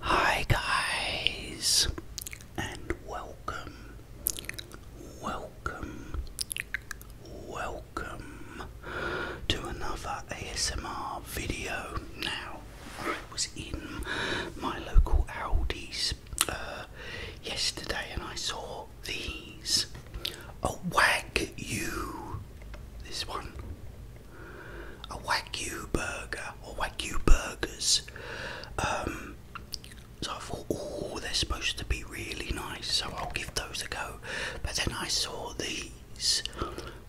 Hi guys and welcome welcome welcome to another ASMR video. Now I was in my local Aldi's uh, yesterday and I saw these. Oh wag you this one a Wagyu burger or Wagyu burgers. so I thought, oh, they're supposed to be really nice, so I'll give those a go. But then I saw these,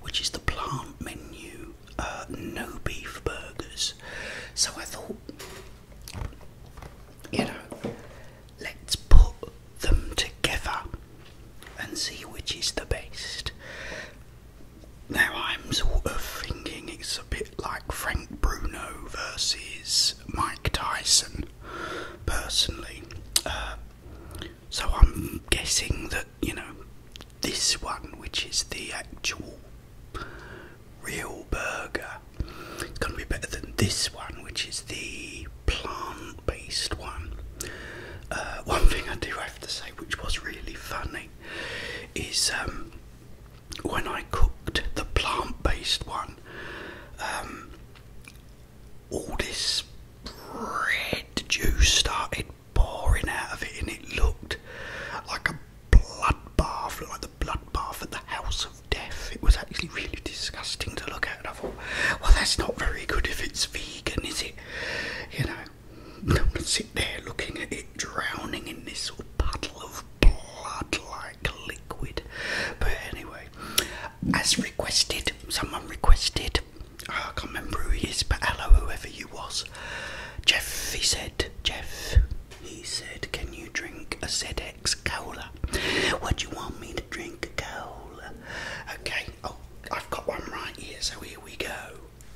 which is the plant menu, uh, no beef burgers. So I thought, you know, let's put them together and see which is the best. Now I'm sort of thinking it's a bit like Frank Bruno versus Mike Tyson, personally. Uh, so I'm guessing that, you know, this one, which is the actual real burger, it's going to be better than this one, which is the plant based one. Uh, one thing I do have to say, which was really funny, is um, when I cooked the plant based one, um, all this red juice started pouring out of it, and it looked like a bloodbath, like the bloodbath at the house of death. It was actually really disgusting to look at. And I thought, well, that's not very good if it's vegan, is it? You know. I'm gonna sit there looking at it drowning in this little puddle of blood like liquid. But anyway, as requested, someone requested, I can't remember who he is, but hello, whoever you was. Jeff, he said, Jeff, he said, can you drink a ZX cola? What do you want me to drink? Cola. Okay, oh, I've got one right here, so here we go.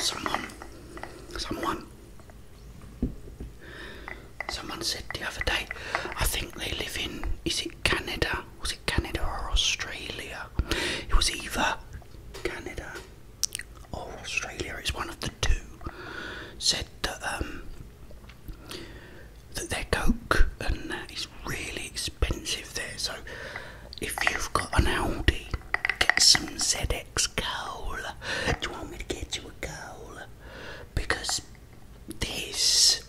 Someone, someone, someone said the other day, I think they live in, is it Canada? Was it Canada or Australia? It was either Canada or oh, Australia, is one of the two, said that um, that their Coke and that is really expensive there. So if you've got an Aldi, get some ZX Cola. Do you want me to get you a cola? Because this,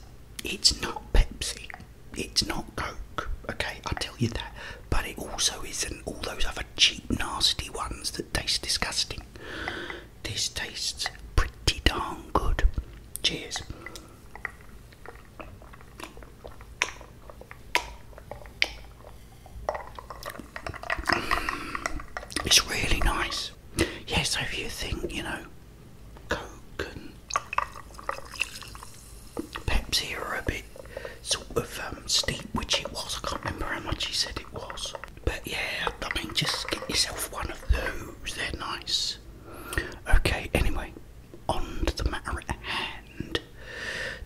it's not Pepsi it's not Coke, okay, I'll tell you that, but it also isn't all those other cheap, nasty ones that taste disgusting. This tastes pretty darn good. Cheers. It's really nice. Yes, so if you think, you know, Coke and Pepsi are a bit sort of um, steep, which it was. I can't remember how much you said it was. But yeah, I mean, just get yourself one of those. They're nice. Okay, anyway, on to the matter at hand.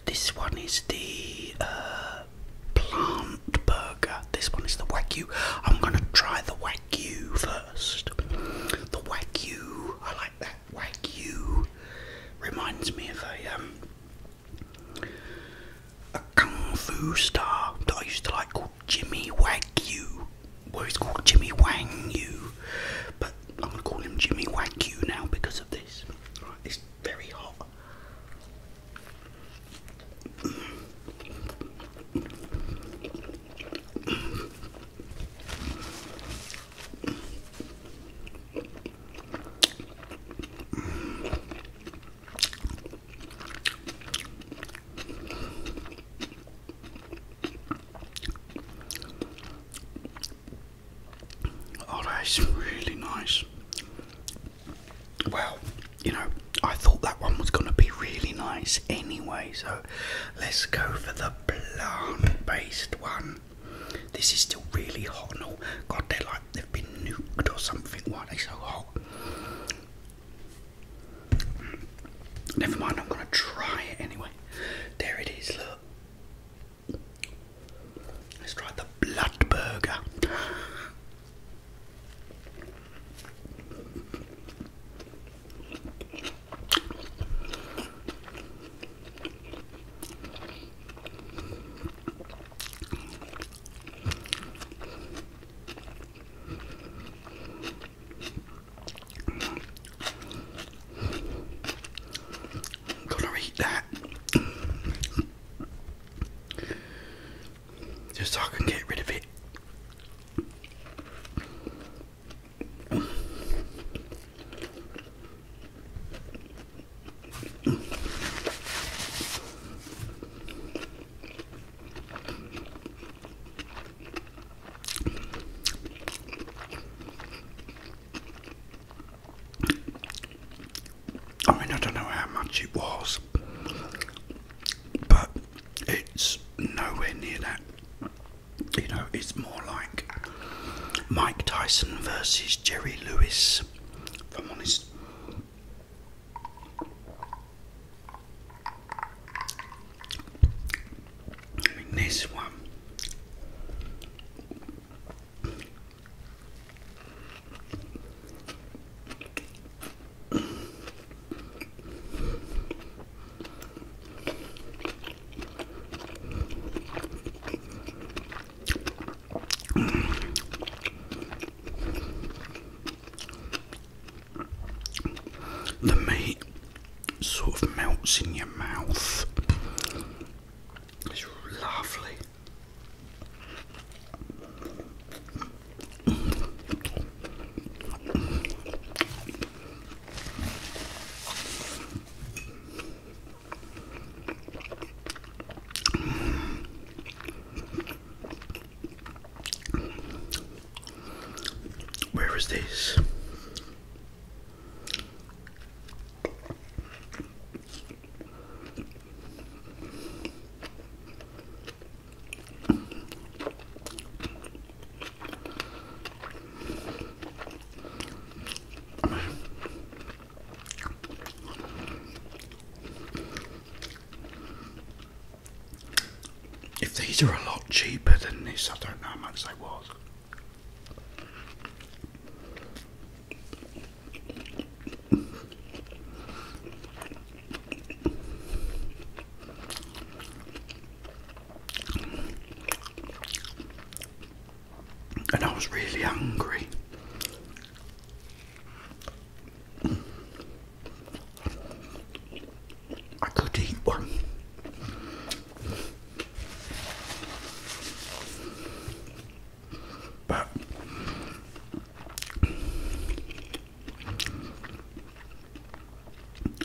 This one is the uh, plant burger. This one is the Wagyu. I'm going to try the Wagyu first. The Wagyu, I like that like you reminds me of a um a kung fu star that I used to like called Jimmy Wagyu. Well he's called Jimmy Wang Yu. But I'm gonna call him Jimmy Wagyu now because of this. it's very hot. Oh, that is really nice. Well, you know, I thought that one was going to be really nice anyway, so let's go for the plant based one. This is still really hot. No, God, they're like they've been nuked or something. Why are they so hot? Never mind, I'm gonna try it anyway. There it is, look. Let's try the blood burger. I'm gonna eat that just so I can get rid of it. I mean, I don't know how much it was, but it's nowhere near that. You know, it's more like Mike Tyson versus Jerry Lewis, if I'm honest. this one. The meat sort of melts in your mouth. It's lovely. Where is this? If these are a lot cheaper than this, I don't know how much they was and I was really hungry. I could eat one. But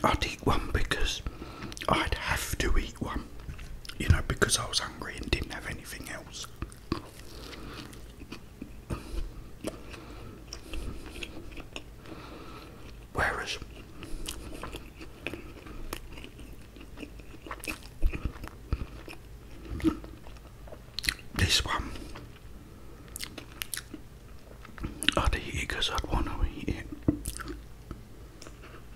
I'd eat one because I'd have to eat one, you know, because I was hungry and didn't have anything else. Whereas this one, I'd eat it because I'd want to eat it.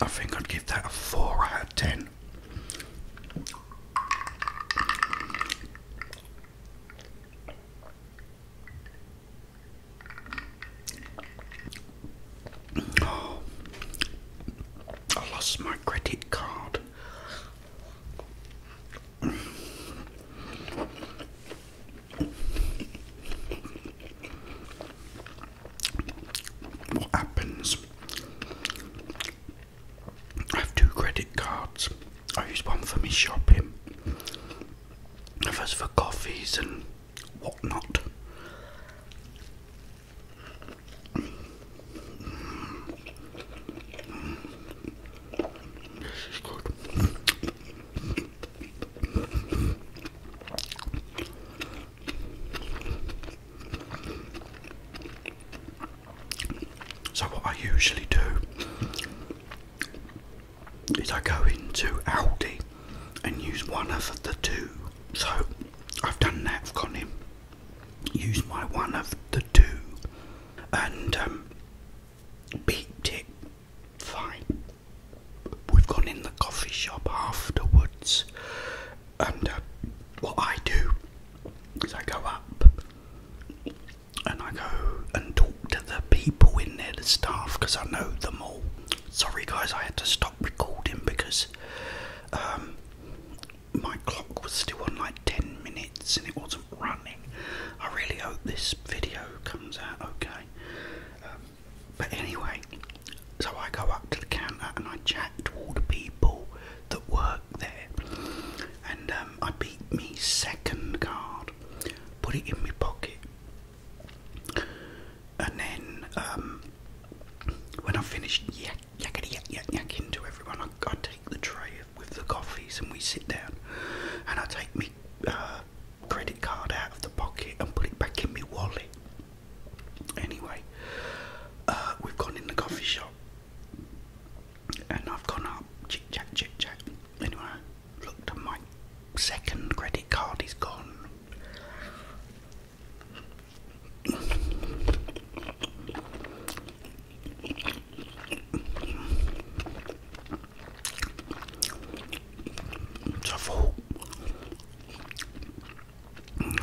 I think I'd give that a 4 out of 10. Oh, I lost my credit card. What happens? I have two credit cards. I use one for my shopping, others for coffees and whatnot. This is good. So, what I usually do is I go into Aldi and use one of the two. So, I've done that, I've gone in, used my one of the two and um, beeped it fine. We've gone in the coffee shop afterwards, and uh, what I do is I go up and I go and talk to the people in there, the staff, because I know them all. Sorry, guys, I had to stop recording because um, my clock was still on like 10 minutes and it wasn't right I really hope this video comes out okay. Um, but anyway, so I go up to the counter and I chat to all the people that work there, and um, I beat me second card, put it in my pocket, and then um, when I finished yak yakety yak yak yakking to everyone, I, take the tray with the coffees and we sit down and I take my uh, credit card out of the pocket and put it back in my wallet. Anyway, uh, we've gone in the coffee shop and I've gone up, chit chat, chit chat. Anyway, I looked at my second credit card is gone. It's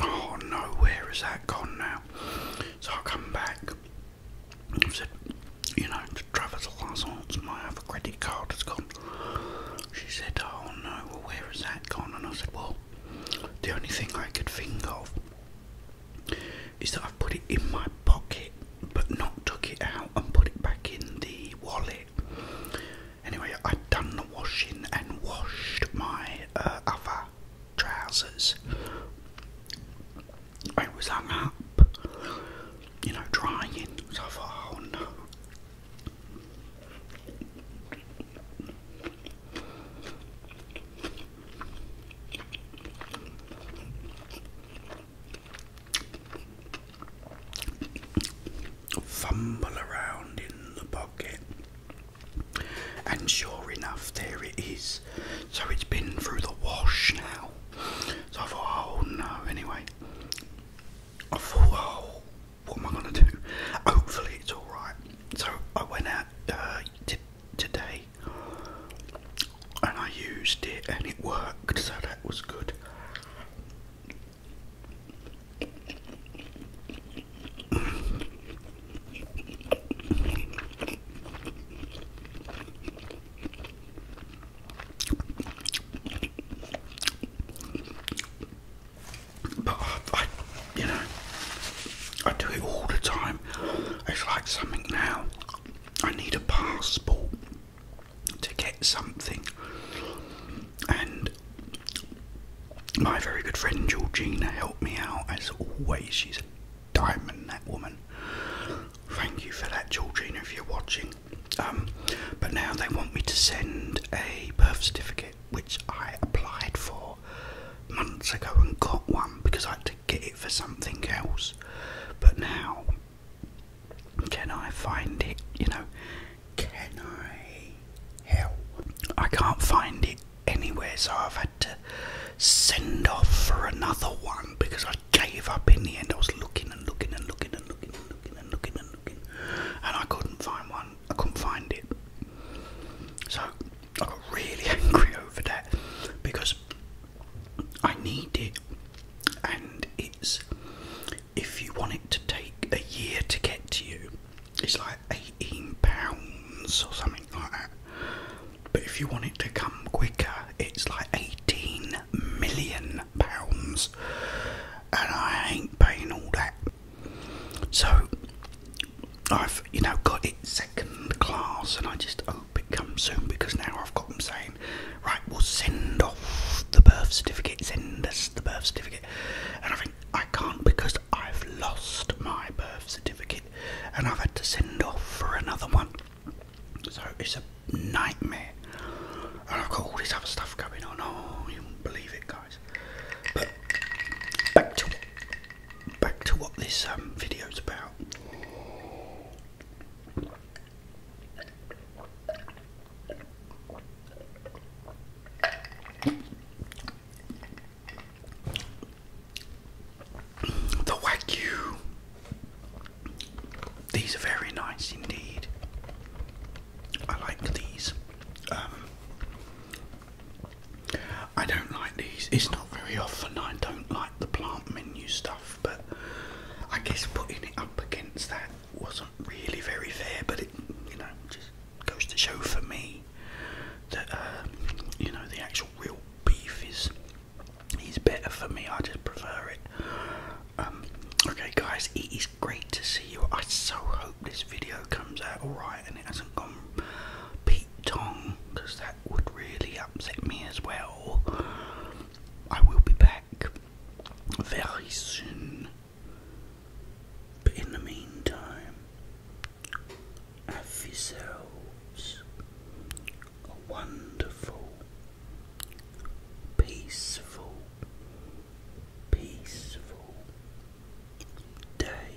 Oh no, where has that gone now? So I come back. I said, you know, to Travis Lazance, my other credit card has gone. She said, oh no, where has that gone? And I said, well, the only thing I could think of is that I've put it in my pocket but not took it out and put it back in the wallet. Anyway, I'd done the washing and washed my uh, other trousers. I was hung up, you know, drying, so I thought, oh, Fumble around in the pocket, and sure enough, there it is. So it's been through the wash now. So I thought, oh no, anyway. I thought, oh, what am I gonna do? Hopefully, it's alright. So I went out, uh, today and I used it and it worked, so that was good. But I, you know, I do it all the time. It's like something now I need a passport to get something. And my very good friend Georgina helped me out as always. She's a diamond, that woman. Thank you for that, Georgina, if you're watching. Um, but now they want me to send a birth certificate, which I applied for months ago and got one because I had to get for something else. But now, can I find it? You know, can I help? I can't find it anywhere, so I've had to send off for another one because I gave up in the end. I was looking and looking and looking and looking and looking and looking and looking, and I couldn't find one. I couldn't find it. So I got really angry over that because I need it, and it's if you want it to take a year to get to you, it's like eighteen pounds or something like that. But if you want it to come quicker, it's like eighteen million pounds, and I ain't paying all that. So I've you know got it second class, and I just hope it comes soon because now I've got them saying, right, we'll send off the birth certificate, send us the birth certificate, and I think I can't because I've lost my birth certificate and I've had to send off for another one, so it's a nightmare. And I've got all this other stuff going on. Oh, you wouldn't believe it, guys. But back to back to what this um, video is about. The Wagyu. These are very nice indeed. I like these. Um, I don't like these. It's not very often I don't like the plant menu stuff, but I guess putting it up against that wasn't really very fair. But it, you know, just goes to show for me that uh, you know the actual real beef is is better for me. I just prefer it. Um, okay, guys, it is great to see you. I so hope this video comes out alright and it hasn't gone speak tongue because that would really upset me as well. I will be back very soon. But in the meantime, have yourselves a wonderful, peaceful, peaceful day.